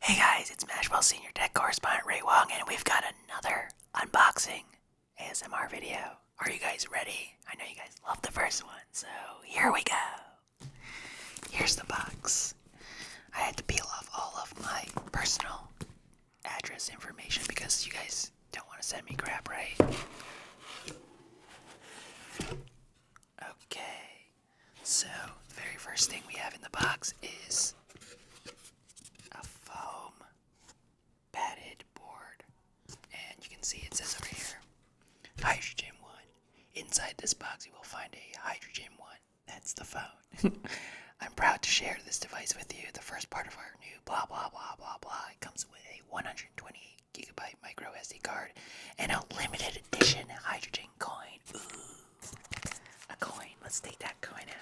Hey guys, it's Mashwell Senior Tech Correspondent Ray Wong, and we've got another unboxing ASMR video. Are you guys ready? I know you guys love the first one, so here we go. Here's the box. I had to peel off all of my personal address information because you guys don't want to send me crap, right? Okay, so, the very first thing we have in the box is a foam padded board. And you can see it says over here hydrogen one. Inside this box, you will find a hydrogen one. That's the phone. I'm proud to share this device with you. The first part of our new blah blah blah blah blah. It comes with a 128 gigabyte micro SD card and a limited edition hydrogen coin. A coin. Let's take that coin out.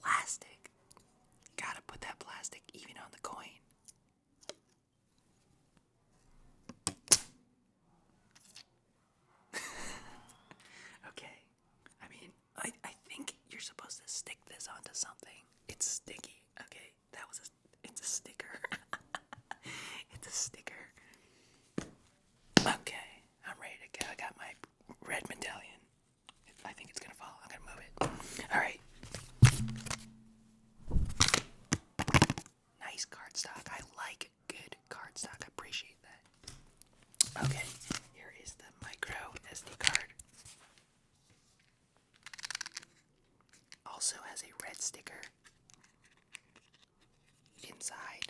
Plastic. Gotta put that plastic even on the coin. okay. I mean, I I think you're supposed to stick this onto something. It's sticky. Okay that was a. It's a sticker. it's a sticker. Okay, I'm ready to go. I got my red medallion. I think it's gonna fall. I'm gonna move it. All right. Nice cardstock. I like good cardstock. appreciate that. Okay, here is the micro SD card. Also has a red sticker inside.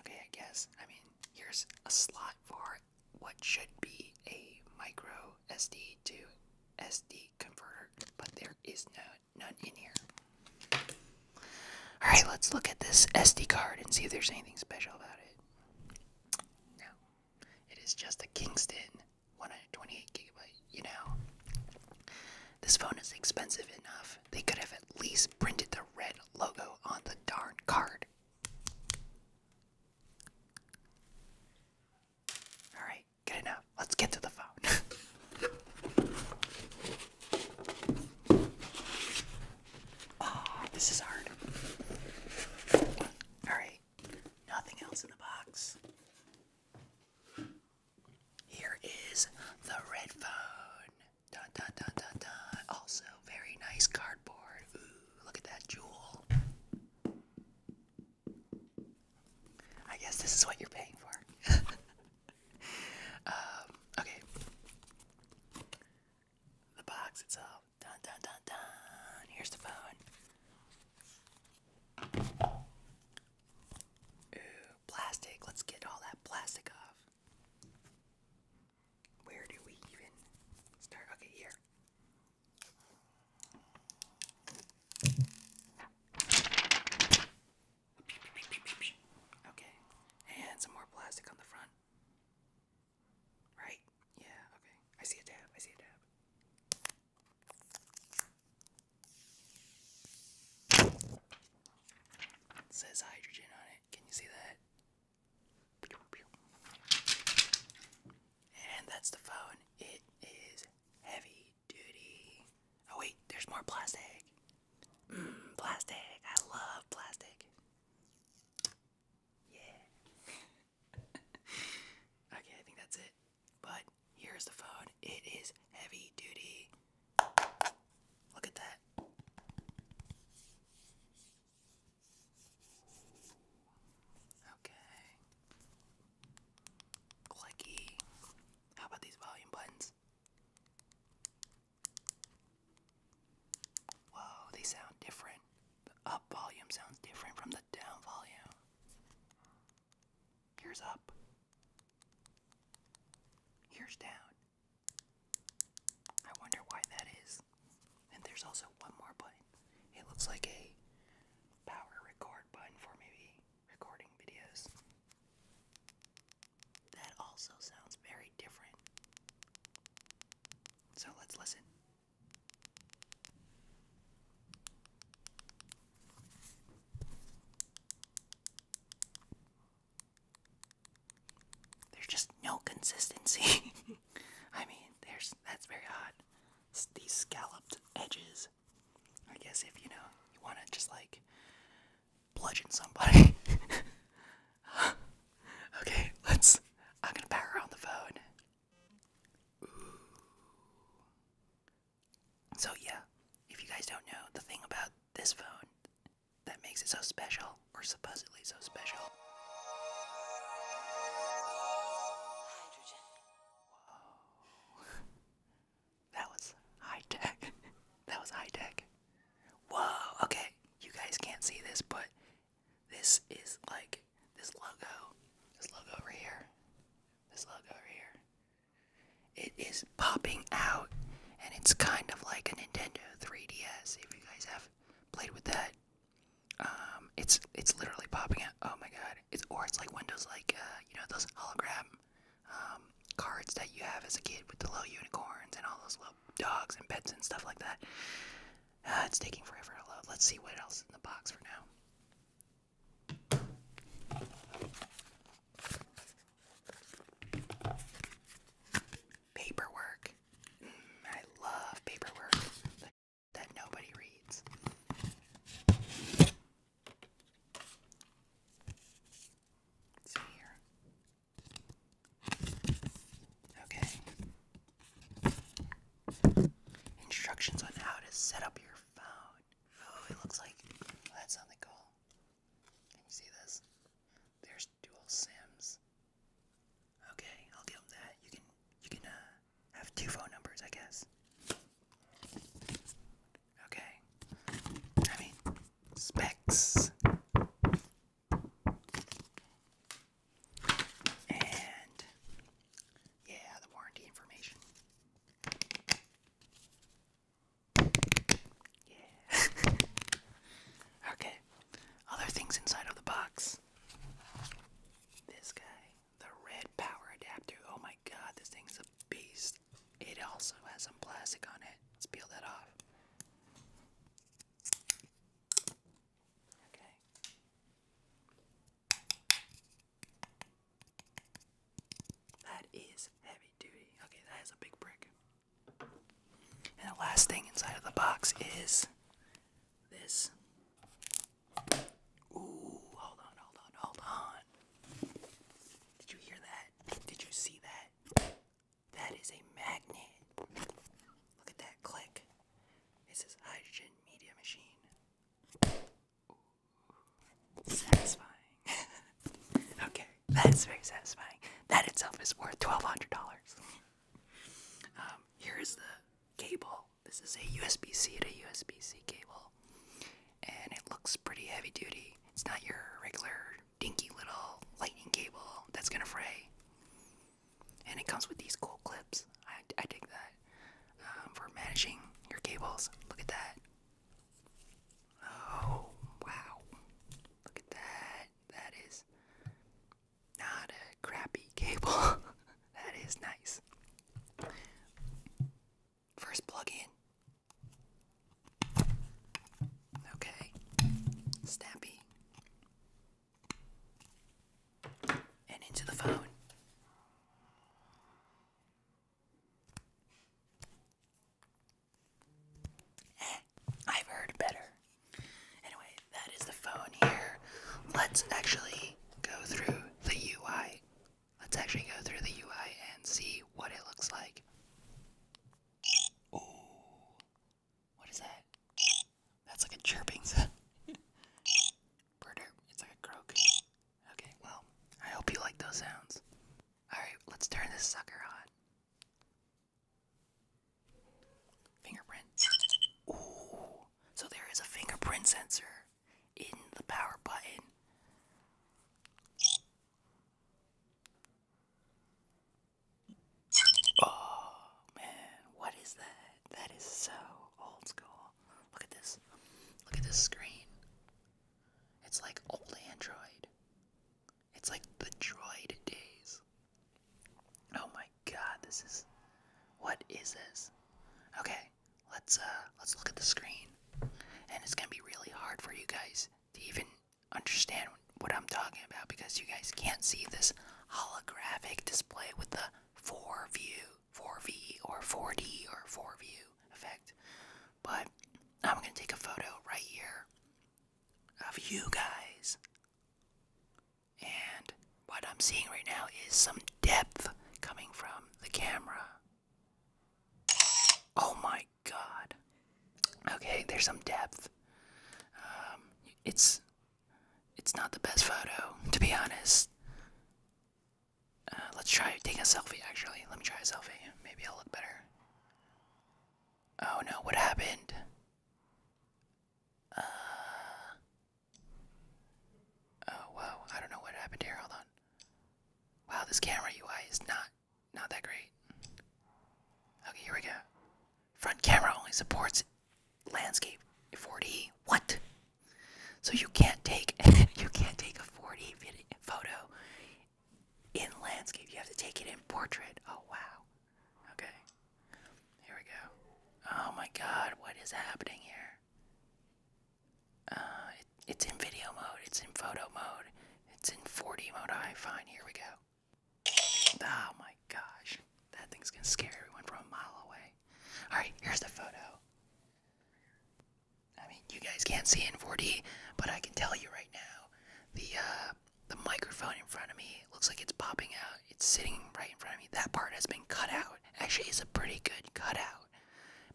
Okay, I guess. I mean, here's a slot for what should be a micro SD to SD converter, but there is no none in here. All right, let's look at this SD card and see if there's anything special about it. No, it is just a Kingston 128 gigabyte, you know. This phone is expensive enough. They could have at least printed the red logo on the darn card. Alright, good enough. Let's get to the phone. oh, this is hard. Alright nothing else in the box. Here is the red phone. Dun, dun, dun, dun, dun. Also, very nice cardboard. Ooh, look at that jewel. I guess this is what you're paying for. Um, okay. The box itself. Dun dun dun dun. Here's the phone. Ooh, plastic. Let's get all that plastic off. Where do we even start? Okay, here. Okay, and some more plastic on the front. Right? Yeah, okay. I see a tab. I see a tab. says hydrogen on it. Can you see that? And that's the phone. It is heavy duty. Oh, wait, there's more plastic. Mm, plastic. I love plastic. Yeah. okay, I think that's it. But here's the phone. It is heavy duty. Look at that. Okay. Clicky. How about these volume buttons? Whoa, they sound different. The up volume sounds different from the down volume. Here's up. Here's down. I wonder why that is. And there's also one more button. It looks like a power record button for maybe recording videos. That also sounds very different. So let's listen. There's just no consistency. I mean, there's that's very odd. these scalloped edges. I guess if you know you want to just like bludgeon somebody, okay, let's. I'm gonna power on the phone. So, yeah, if you guys don't know the thing about this phone that makes it so special, or supposedly so special. That was high tech. that was high tech. Whoa, okay. You guys can't see this, but this is like this logo. This logo over here. This logo over here. It is popping out, and it's kind of like a Nintendo 3DS. If you guys have played with that, um, it's it's literally popping out. Oh my god! It's or it's like Windows, like uh, you know those hologram um, cards that you have as a kid with the little unicorns and all those little dogs and pets and stuff like that. Uh, it's taking forever to load. Let's see what else in the box for now. Paperwork. Mm, I love paperwork that nobody reads. here. Okay. Instructions on how to set up your phone. Oh, it looks like oh, that's something cool. Can you see this? There's dual sims. Okay, I'll give them that. You can you can uh, have two phone numbers, I guess. Okay. specs. And yeah, the warranty information. Yeah. okay. Other things inside of the box. This guy, the red power adapter. Oh my god, this thing's a beast. It also has some plastic on it. Let's peel that off. Okay. That is heavy duty. Okay, that is a big brick. And the last thing inside of the box is this. Ooh, hold on, hold on, hold on. Did you hear that? Did you see that? That is a magnet. Look at that click. It says hydrogen media machine. Satisfying. okay, that's very satisfying. That itself is worth $1,200. Um, here is the cable. This is a USB C to USB C cable. And it looks pretty heavy duty. It's not your regular dinky little lightning cable that's gonna fray. And it comes with these cool clips. I, I dig that. Um, for managing your cables. Look at that. Oh, wow. Look at that. That is not a crappy cable. that is nice. First plug in. Okay, snappy. And into the phone. Eh, I've heard better. Anyway, that is the phone here. Let's actually go through the UI. Let's actually go through the UI and see what it looks like. Oh, what is that? That's like a chirping sound. Birder, it's like a croak. Okay, well, I hope you like those sounds. Alright, let's turn this sucker on. Fingerprint. Ooh, so there is a fingerprint sensor in the power button. Oh man, what is that? That is so old school. Look at this. Look at this screen. It's like old Android. It's like the droid days. Oh my god, this is what is this? Okay, let's uh let's look at the screen. And it's gonna be really hard for you guys to even understand what I'm talking about because you guys can't see this holographic display with the 4 view, 4V or 4D or 4 view effect. But I'm going to take a photo right here of you guys. And what I'm seeing right now is some depth coming from the camera. Oh my god. Okay, there's some depth. Um, it's it's not the best photo, to be honest. Uh, let's try taking a selfie. Actually, let me try a selfie. Maybe I'll look better. Oh no! What happened? Uh, oh wow! I don't know what happened here. Hold on. Wow, this camera UI is not not that great. Okay, here we go. Front camera only supports landscape forty. What? So you can't take you can't take a forty photo in landscape. You have to take it in portrait. Oh wow. Okay. Here we go. Oh my god, what is happening here? Uh, it's in video mode, it's in photo mode, it's in 4D mode. I fine, here we go. Oh my gosh, that thing's gonna scare everyone from a mile away. All right, here's the photo. I mean, you guys can't see in 4D, but I can tell you right now, the uh, the microphone in front of me looks like it's popping out. It's sitting right in front of me. That part has been cut out. Actually, it's a pretty good cutout.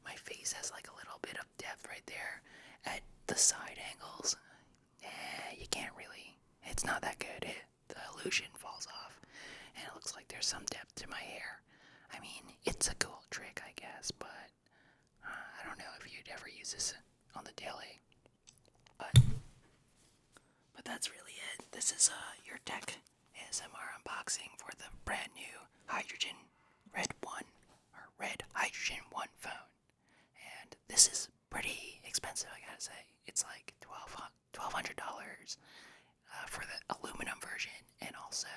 My face has like a little bit of depth right there at the side angles. Eh, you can't really. It's not that good. the illusion falls off, and it looks like there's some depth to my hair. I mean, it's a cool trick, I guess, but uh, I don't know if you'd ever use this on the daily. But, but that's really it. This is uh, your tech ASMR unboxing for the brand new hydrogen red one or red hydrogen one phone and this is pretty expensive i gotta say it's like $1200 uh, for the aluminum version and also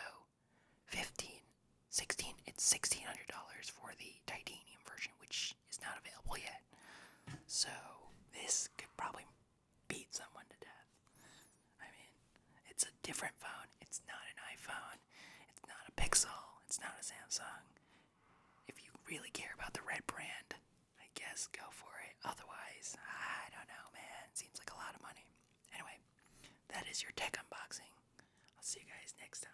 15 it's $1600 for the titanium version which is not available yet so this could probably beat someone to death I mean, it's a different phone. It's not an iPhone. It's not a Pixel. It's not a Samsung. If you really care about the red brand, I guess go for it. Otherwise, I don't know, man. Seems like a lot of money. Anyway, that is your tech unboxing. I'll see you guys next time.